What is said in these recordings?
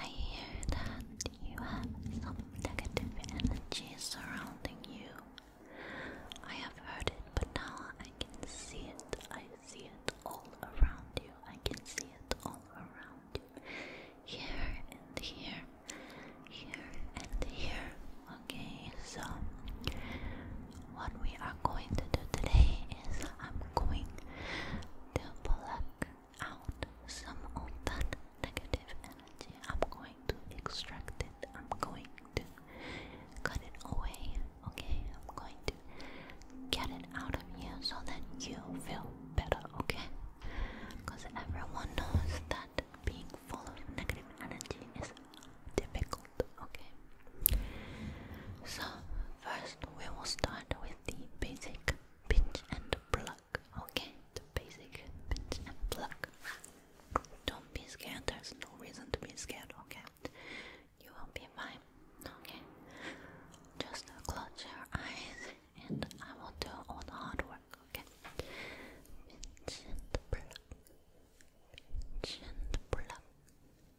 I hear that you have some negative energy surrounding you. I have heard it, but now I can see it. I see it all around you. I can see it all around you. Here and here. Here and here. Okay, so what we are going to do today is I'm going to pluck out some of that negative energy. I'm going to extract it. I'm going to cut it away. Okay? I'm going to get it out of you so that you feel better. Okay? Because everyone knows that being full of negative energy is difficult. Okay. So first we will start with the basic pinch and pluck. Okay, the basic pinch and pluck. Don't be scared. There's no reason to be scared. Okay, you will be fine. Okay, just close your eyes and I will do all the hard work. Okay, pinch and pluck. Pinch and pluck.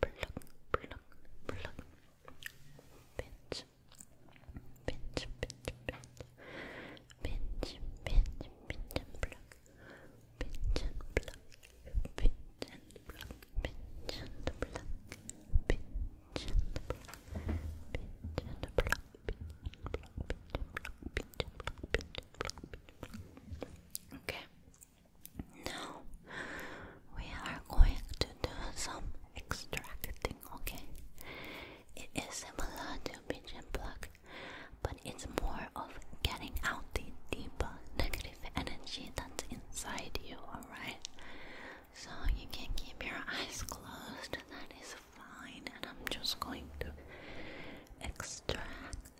pluck, pluck, pinch, pinch, pinch, pinch, pinch, pinch and pluck, pinch and pluck, pinch and pluck, pinch and pluck, pinch and pluck, pinch and pluck, pinch and pluck, pinch and pluck, pinch and pluck, pinch and pluck, pinch and pluck. Okay. Now we are going to do some extracting, okay? It is similar to pigeon plug, but it's more of getting out the deep negative energy that's inside you, alright? So you can keep your eyes closed, that is fine, and I'm just going to extract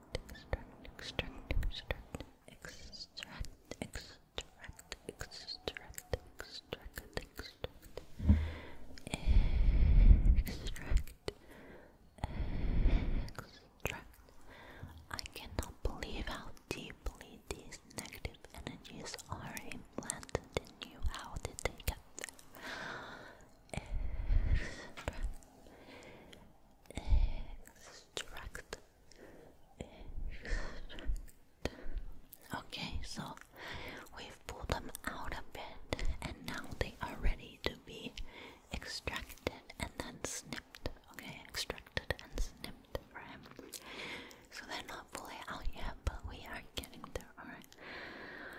extract, extract, extract, extract, extract, extract, extract, extract, extract, extract. I cannot believe how deeply these negative energies are implanted in you. How did they get there? Extract. Extract extract okay so we've pulled them out a bit and now they are ready to be extracted and then snipped okay extracted and snipped for him so they're not fully out yet but we are getting there alright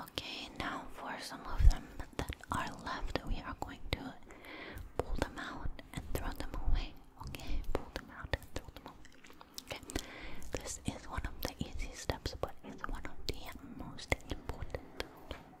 Okay, now for some of them that are left, we are going to pull them out and throw them away. Okay, pull them out and throw them away. Okay, this is one of the easy steps, but it's one of the most important. Okay.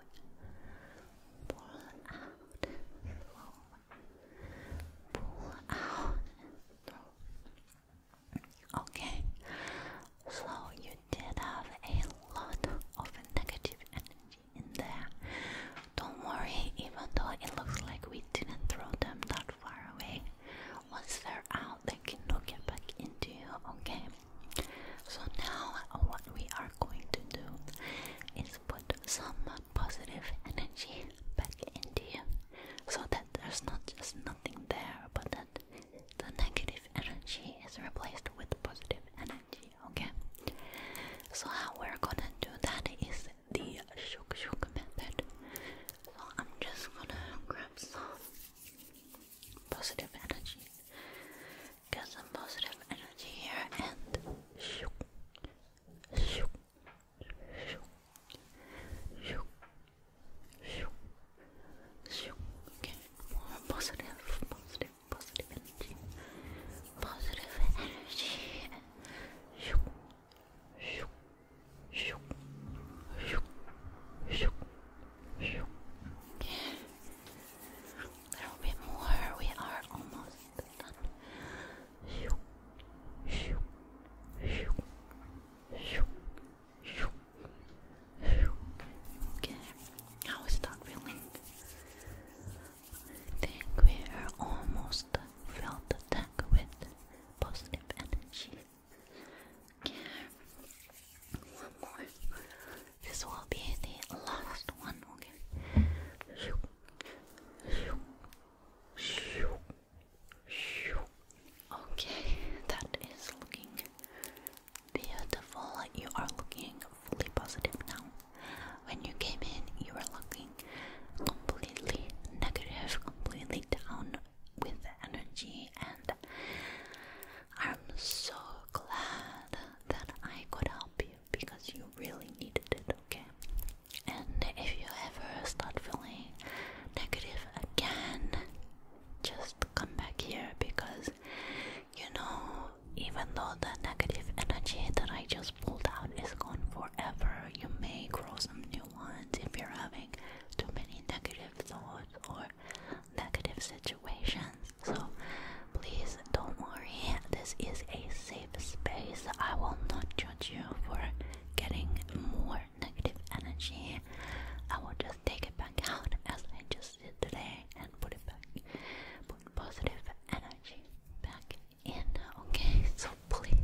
Pull out, Pull out, Okay, so you did have a lot of negative energy in there. Don't worry, even though it looks like we didn't throw them that far away. Once they're out, they can look it back into you, okay? So now what we are going to do is put some positive energy back into you so that there's not just nothing there but that the negative energy is replaced with positive energy, okay? So how we're gonna do that is the shook shook method. So I'm just gonna grab some positive energy Get some positive energy here and shoo, shoo, shoo, shoo, shoo, shoo. Okay, more positive, positive, positive energy, positive energy. Shoo, shoo, shoo, shoo, shoo, there will be more. We are almost done. Okay, how is that feeling? I think we are almost filled the tank with positive energy. Okay, one more. This will be the last one, okay? Okay, that is looking beautiful. You are looking fully positive now. When you came in, you were looking completely negative, completely down, with energy, and I'm so glad that I could help you because you really needed it, okay? And if you ever start feeling negative again, just come back here because you know, even though the negative energy that I just pulled out is gone forever, you may grow some new ones if you're having too many negative thoughts or negative situations. So please don't worry, this is a safe space. I will not judge you for getting more negative energy. I will just take it back out as I just did today and put it back, put positive energy back in. Okay, so please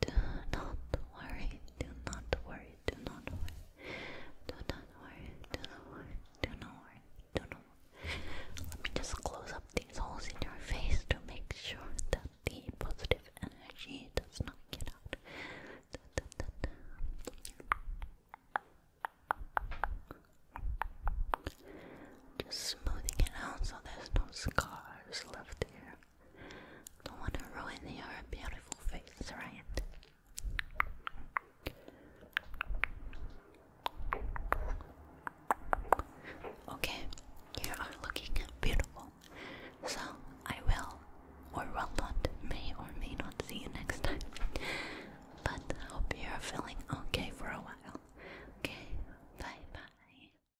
do not worry, do not worry, do not worry, do not worry, do not worry, do not worry, do not Let me just close up these holes in your face to make sure that the positive energy does not get out. Just smoothing it out so there's no scars left here. Don't want to ruin your beautiful face, right? Okay, you are looking beautiful. So I will or will not, may or may not see you next time. But hope you're feeling okay for a while. Okay, bye bye.